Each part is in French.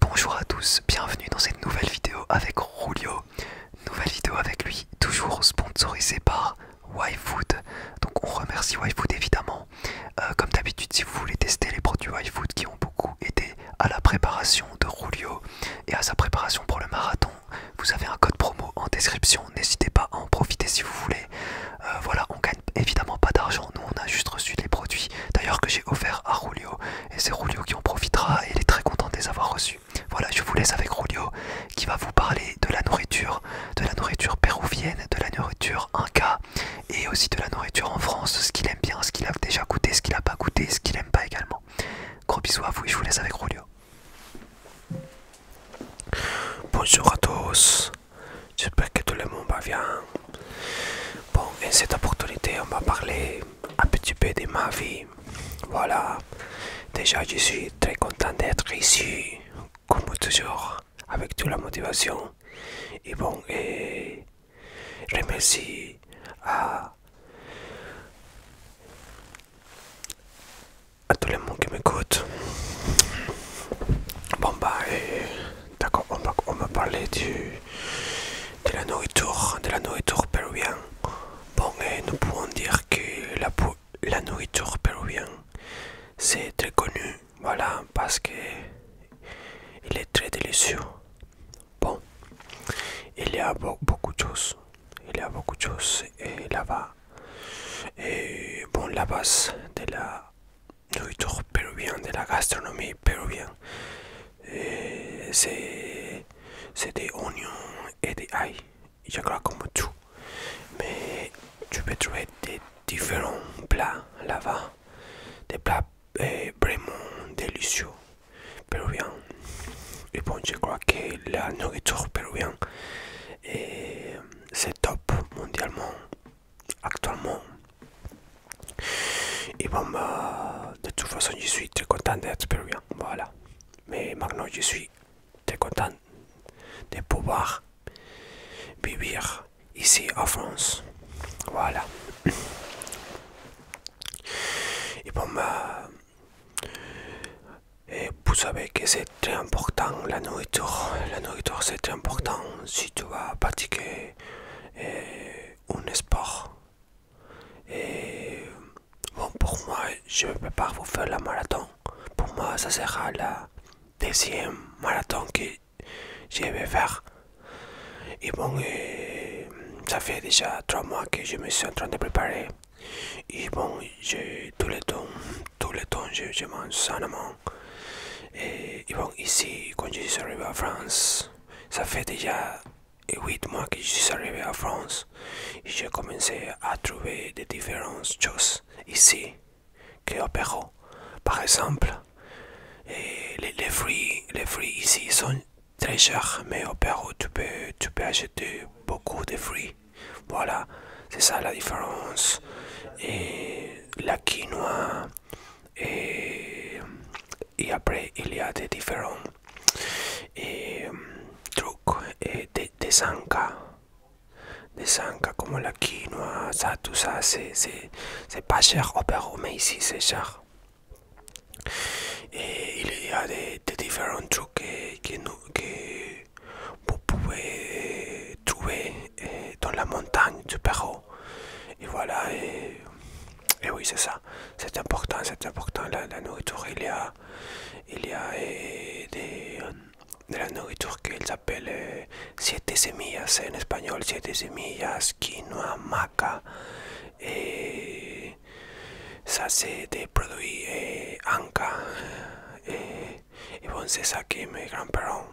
Bonjour à tous, bienvenue dans cette nouvelle vidéo avec Rulio. Nouvelle vidéo avec lui, toujours sponsorisée par YFood. Donc on remercie YFood évidemment. Euh, comme d'habitude, si vous voulez tester les produits YFood qui ont beaucoup aidé à la préparation de Rulio et à sa préparation pour le marathon, vous avez un code promo en description. N'hésitez pas à en profiter si vous voulez. Euh, voilà, on gagne évidemment pas d'argent. Nous, on a juste reçu les produits d'ailleurs que j'ai offert à Rulio et c'est Rulio qui en profitera et il est très content de les avoir reçus. Voilà, je vous laisse avec Rulio qui va vous parler de la nourriture, de la nourriture péruvienne, de la nourriture inca et aussi de la nourriture en France, ce qu'il aime bien, ce qu'il a déjà goûté, ce qu'il n'a pas goûté, ce qu'il n'aime pas également. Gros bisous à vous et je vous laisse avec Rulio. Bonjour à tous, j'espère que tout le monde va bien. Bon, en cette opportunité, on va parler un petit peu de ma vie. Voilà. Déjà, je suis très content d'être ici, comme toujours, avec toute la motivation. Et bon, et je remercie à, à tout le monde qui m'écoute. Bon, bah, et D'accord, on, va parler du, de la nourriture, de la nourriture péruvienne. Bon, et nous pouvons dire que la, nourriture péruvienne, c'est très connu, voilà, parce que il est très délicieux. Bon, il y a beaucoup de choses, il y a beaucoup de choses là-bas. Et bon, la base de la nourriture péruvienne, de la gastronomie péruvienne. Eh, c'est des oignons et des ail, je crois comme tout. Mais tu peux trouver des différents plats là-bas, des plats eh, vraiment délicieux péruvien Et bon, je crois que la nourriture péruvienne c'est top mondialement actuellement. Et bon, bah, de toute façon, je suis très content d'être péruvien. Voilà. Mais maintenant, je suis très content de pouvoir vivre ici en France. Voilà. Et bon, bah, et vous savez que c'est très important la nourriture. La nourriture, c'est très important si tu vas pratiquer et un sport. Et bon, pour moi, je vais prépare pas faire la marathon. Pour moi, ça sera la deuxième marathon que je vais faire. Et bon, ça fait déjà trois mois que je me suis en train de préparer. Et bon, j'ai tous les temps, tous les temps, je, je mange sainement. Et, eh, bon, ici, quand je suis arrivé à France, ça fait déjà 8 mois que je suis arrivé à France et j'ai commencé à trouver des différentes choses ici que au Pérou. Par exemple, et eh, les, fruits, ici sont très chers, mais au Pérou, tu peux, tu peux acheter beaucoup de fruits. Voilà, c'est ça la différence. Et la quinoa, et, eh, après, il y a des différents eh, trucs, et eh, des, sanka Des comme la quinoa, ça, tout ça, c'est pas cher au Pérou, mais ici c'est cher. Et il y a des, différents trucs que, vous pouvez trouver dans la montagne du Pérou. y voilà, y et oui, c'est ça. C'est important, c'est important. La, la, nourriture, il y a, y a eh, de la nourriture que appellent eh, siete semillas en español, siete semillas, quinoa, maca. y ça, c'est des produits eh, anca. y et bon, c'est ça que me grands-parents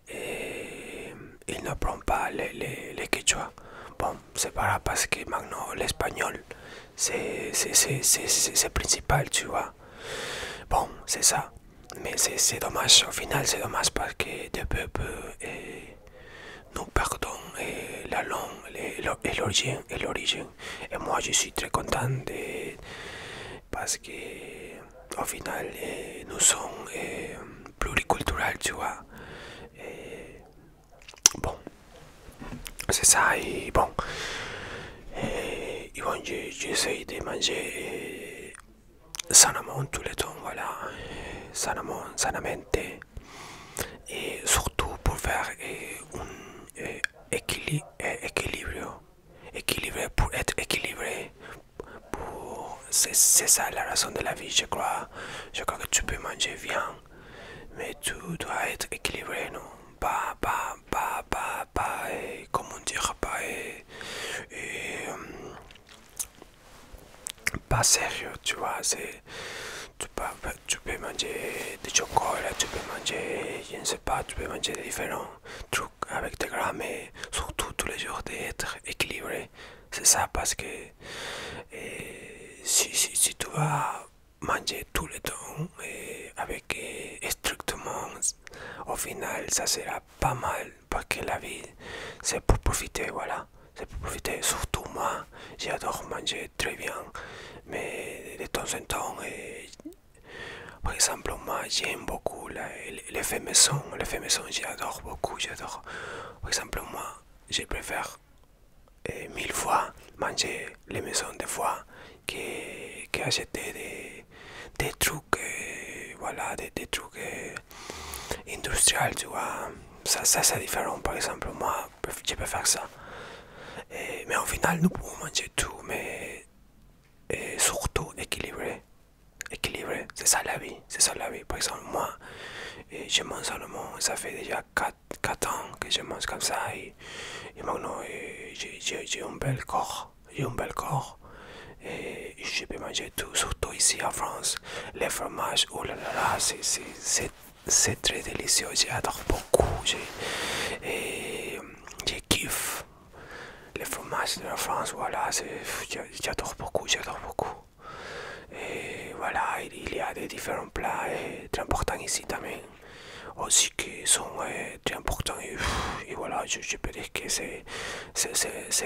eh, il no prompa le, le, le quechua. bon, se pas pas que magno l'espagnol, c'est principal, tu vois. Bon, c'est ça. Mais c'est dommage, au final c'est dommage parce que de peu peu eh, nous perdons eh, la langue et l'origine. Et, et, et moi je suis très content parce que au final eh, nous sommes eh, Pluriculturel, tu vois. Et bon, c'est ça, et bon. Et, bon, j'essaye de manger sanament tous les temps, voilà. Et surtout pour faire un équilibre, équilibre, équilibre pour être équilibré, pour c'est ça la raison de la vie je crois je crois que tu peux manger bien mais tu dois être équilibré non pas pas pas pas pas comment dire pas et, euh, pas sérieux tu vois tu peux, manger des chocolat tu peux manger, je ne sais pas, tu peux manger différents trucs avec des grammes, mais surtout tous les jours d'être équilibré c'est ça parce que si, tu vas manger tout le temps et avec strictement, au final ça sera pas mal parce que la vie c'est pour profiter, voilà, c'est pour profiter. Surtout moi, j'adore manger très bien, mais de temps en temps, par exemple, moi j'aime beaucoup le maison, l'effet maison j'adore beaucoup, j'adore par exemple, moi, je préfère eh, mille fois manger les maisons de fois que, acheter des, trucs, eh, voilà, des, trucs eh, industriels, tu vois. Ça, c'est différent, par exemple, moi, je préfère ça. mais au final, nous pouvons manger tout, mais surtout équilibré équilibré. C'est ça la vie, c'est ça la vie. Par exemple, moi, je mange seulement, ça fait déjà 4, ans que je mange comme ça et, maintenant j'ai un bel corps, j'ai un bel corps. Et je peux manger tout, surtout ici en France. Les fromages, oh là là, c'est très délicieux, j'adore beaucoup, et j'ai kiff les fromages de la France, voilà, j'adore beaucoup, j'adore beaucoup. Et voilà, il y a des différents plats très importants ici aussi qui sont très importants. Et, voilà, je, peux dire que c'est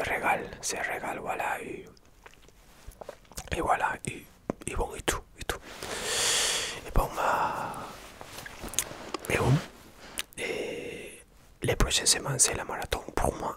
régal, c'est régal, voilà. Et, voilà, et, bon, et tout, et tout. Et bon, mais, bah, bon, et les prochaines semaines, c'est la marathon pour moi.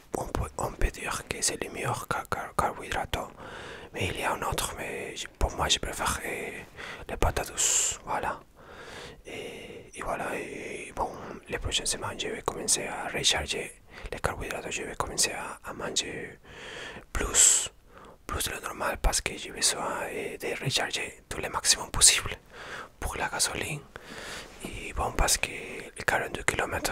on peut, dire que c'est le meilleur car mais il y a un autre, mais pour moi je préfère les patates douce voilà. Et, voilà, et bon, les prochaines semaines je vais commencer à recharger les carbohydrates, je vais commencer à, manger plus, plus le normal parce que je vais de recharger tout le maximum possible pour la gasoline. Et bon, parce que les 42 km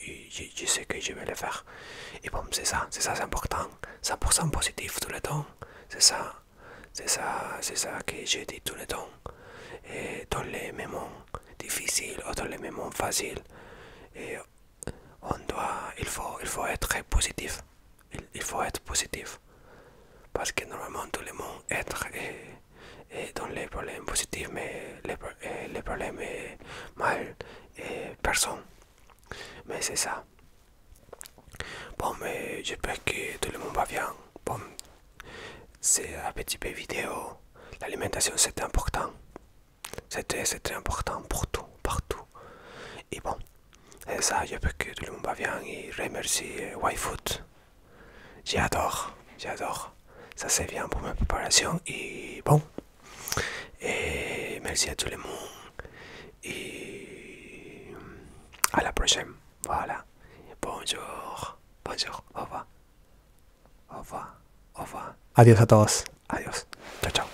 je, sais que je vais le faire. Et bon, c'est ça, c'est ça, c'est important. 100% positif tout le temps, c'est ça, c'est ça, c'est ça que j'ai dit tout le temps. Et dans les moments difficiles ou dans les moments faciles, on doit, il faut, il faut être positif. Il, faut être positif. Parce que normalement tout le monde être et eh, dans les problèmes positifs, mais les, eh, problèmes mal, et eh, personne. Mais c'est ça. Bon, mais j'espère que tout le monde va bien. Bon, c'est un petit peu vidéo. L'alimentation, c'est important. c'était très, important pour tout, partout. Et bon, c'est ça. J'espère que tout le monde va bien. Et remercie YFood J'adore, j'adore. Ça c'est bien pour ma préparation et bon. Et merci à tout le monde. Et euh, à la prochaine. Voilà. Bonjour. Bonjour. Au revoir. Au revoir. Au revoir. Adiós à tous, Adiós. ciao, ciao.